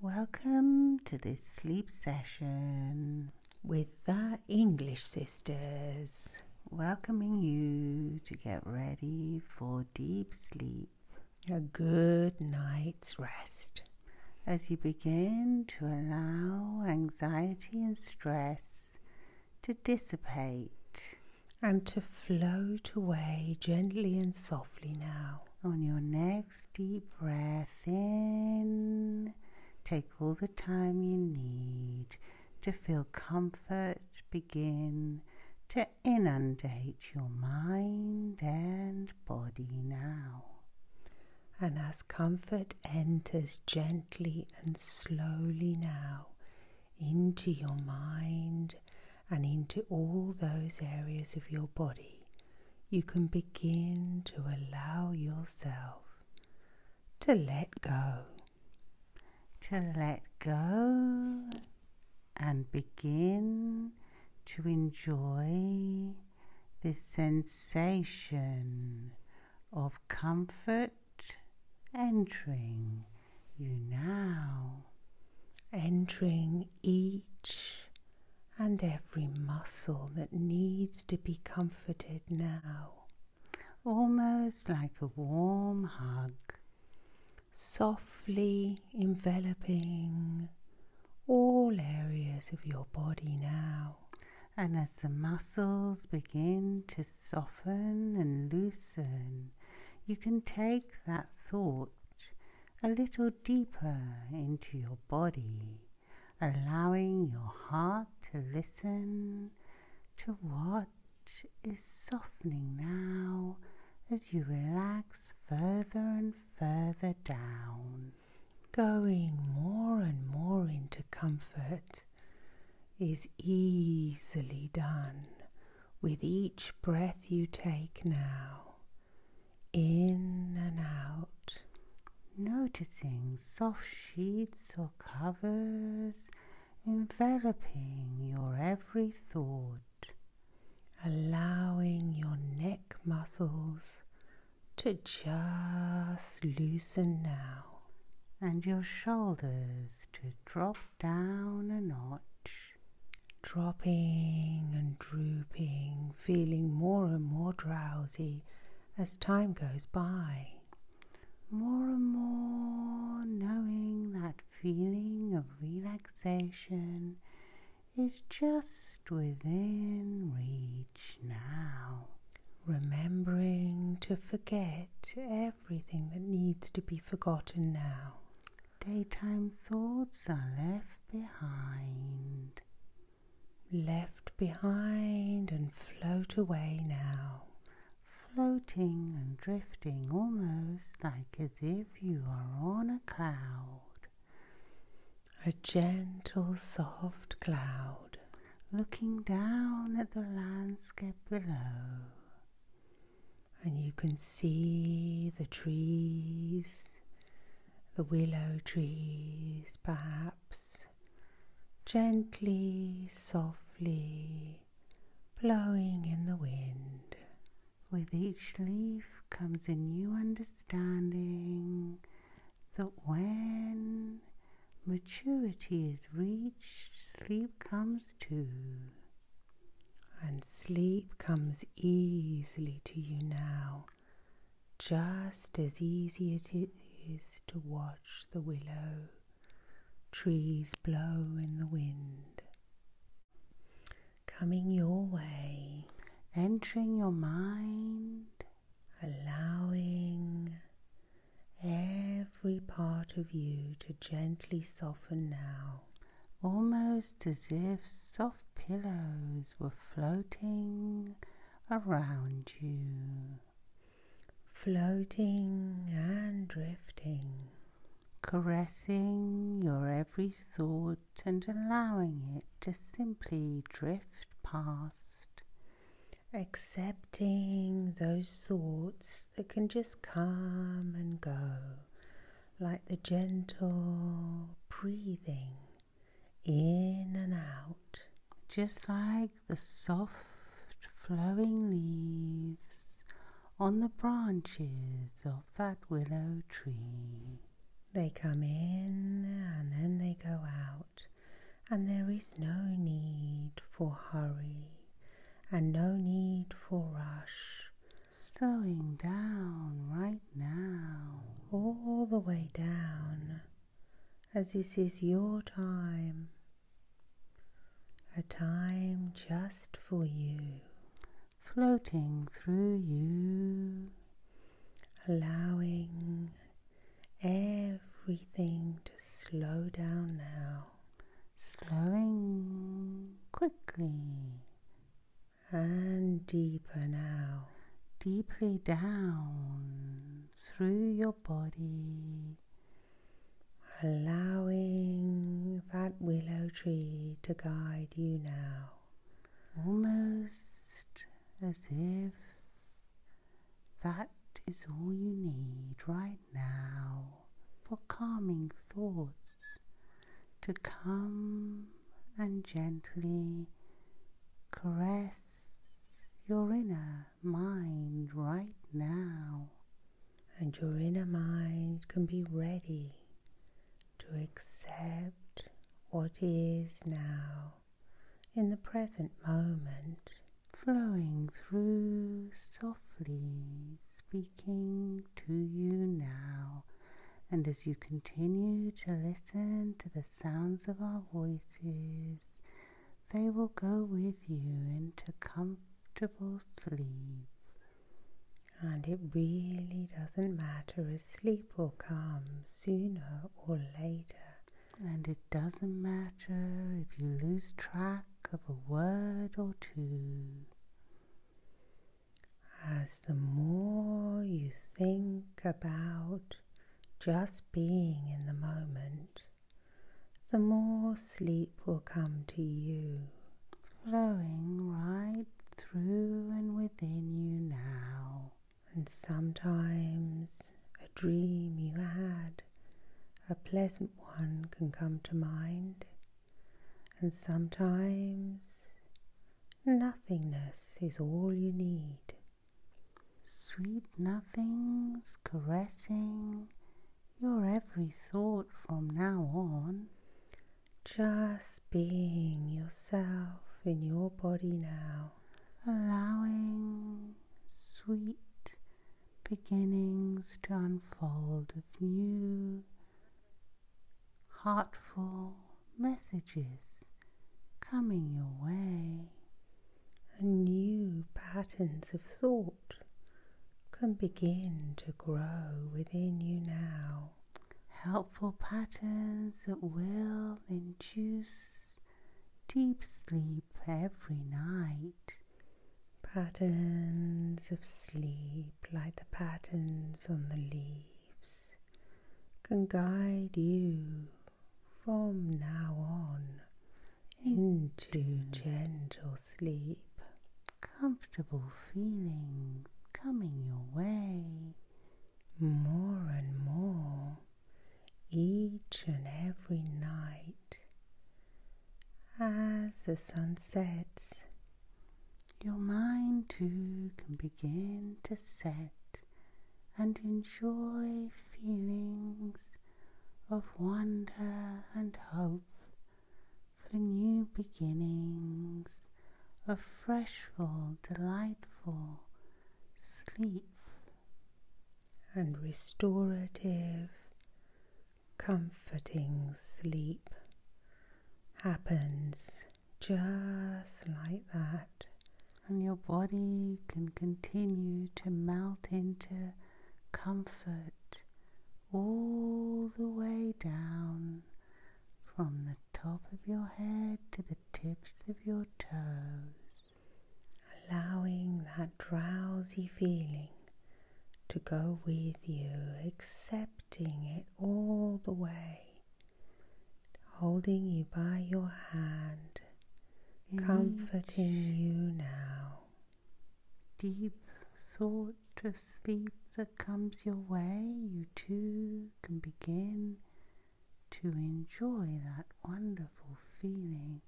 Welcome to this sleep session with the English Sisters. Welcoming you to get ready for deep sleep. A good night's rest. As you begin to allow anxiety and stress to dissipate and to float away gently and softly now on your next deep breath in, take all the time you need to feel comfort begin to inundate your mind and body now. And as comfort enters gently and slowly now into your mind and into all those areas of your body, you can begin to allow yourself to let go. To let go and begin to enjoy this sensation of comfort entering you now entering each and every muscle that needs to be comforted now, almost like a warm hug, softly enveloping all areas of your body now. And as the muscles begin to soften and loosen, you can take that thought a little deeper into your body, allowing your heart to listen to what is softening now as you relax further and further down. Going more and more into comfort is easily done with each breath you take now, in and out, noticing soft sheets or covers enveloping your every thought, allowing your neck muscles to just loosen now and your shoulders to drop down a notch dropping and drooping, feeling more and more drowsy as time goes by. More and more knowing that feeling of relaxation is just within reach now. Remembering to forget everything that needs to be forgotten now. Daytime thoughts are left behind. Left behind and float away now. Floating and drifting almost like as if you are on a cloud. A gentle, soft cloud. Looking down at the landscape below and you can see the trees, the willow trees perhaps, gently, softly blowing in the wind. With each leaf comes a new understanding that when maturity is reached, sleep comes too. And sleep comes easily to you now, just as easy it is to watch the willow trees blow in the wind. Coming your way, entering your mind, allowing every part of you to gently soften now almost as if soft pillows were floating around you. Floating and drifting, caressing your every thought and allowing it to simply drift past. Accepting those thoughts that can just come and go like the gentle breathing in and out, just like the soft flowing leaves on the branches of that willow tree. They come in and then they go out, and there is no need for hurry and no need for rush slowing down right now, all the way down, as this is your time, a time just for you, floating through you, allowing everything to slow down now, slowing quickly and deeper now, deeply down through your body, allowing that willow tree to guide you now, almost as if that is all you need right now for calming thoughts to come and gently caress your inner mind right now. And your inner mind can be ready to accept what is now in the present moment, flowing through softly, speaking to you now. And as you continue to listen to the sounds of our voices, they will go with you into comfortable sleep. And it really doesn't matter if sleep will come sooner or later. And it doesn't matter if you lose track of a word or two as the more you think about just being in the moment, the more sleep will come to you, flowing right through and within you now. And sometimes a dream you had, a pleasant one, can come to mind. And sometimes nothingness is all you need. Sweet nothings caressing your every thought from now on. Just being yourself in your body now. Allowing sweet beginnings to unfold of you heartful messages coming your way and new patterns of thought can begin to grow within you now. Helpful patterns that will induce deep sleep every night Patterns of sleep, like the patterns on the leaves, can guide you from now on into, gentle sleep. Comfortable feelings coming your way. More and more, each and every night, as the sun sets your mind too can begin to set and enjoy feelings of wonder and hope for new beginnings of freshful, delightful sleep and restorative comforting sleep happens just like that. And your body can continue to melt into comfort all the way down from the top of your head to the tips of your toes. Allowing that drowsy feeling to go with you, accepting it all the way, holding you by your hand, mm-hmm. comforting you now. Deep thought of sleep that comes your way, you too can begin to enjoy that wonderful feeling,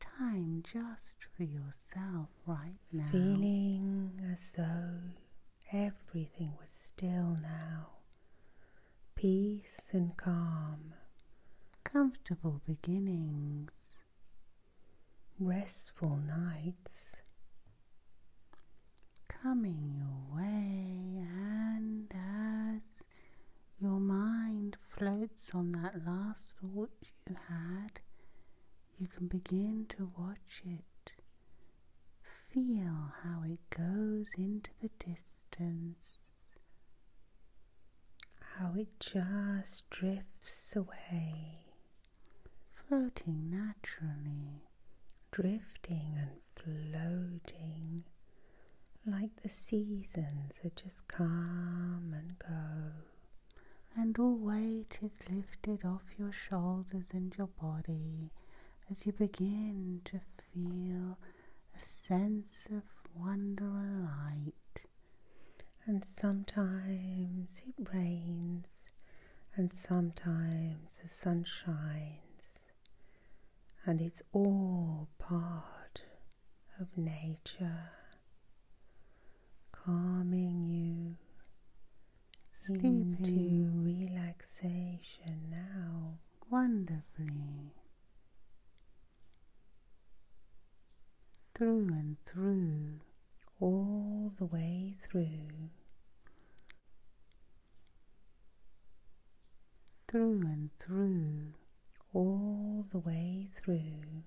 time just for yourself right now. Feeling as though everything was still now. Peace and calm. Comfortable beginnings. Restful nights. Coming your way, and as your mind floats on that last thought you had, you can begin to watch it. Feel how it goes into the distance, how it just drifts away, floating naturally, drifting and floating like the seasons that just come and go and all weight is lifted off your shoulders and your body as you begin to feel a sense of wonder and light. And sometimes it rains, and sometimes the sun shines, and it's all part of nature calming you Sleeping. into relaxation now. Wonderfully. Through and through. All the way through. Through and through. All the way through.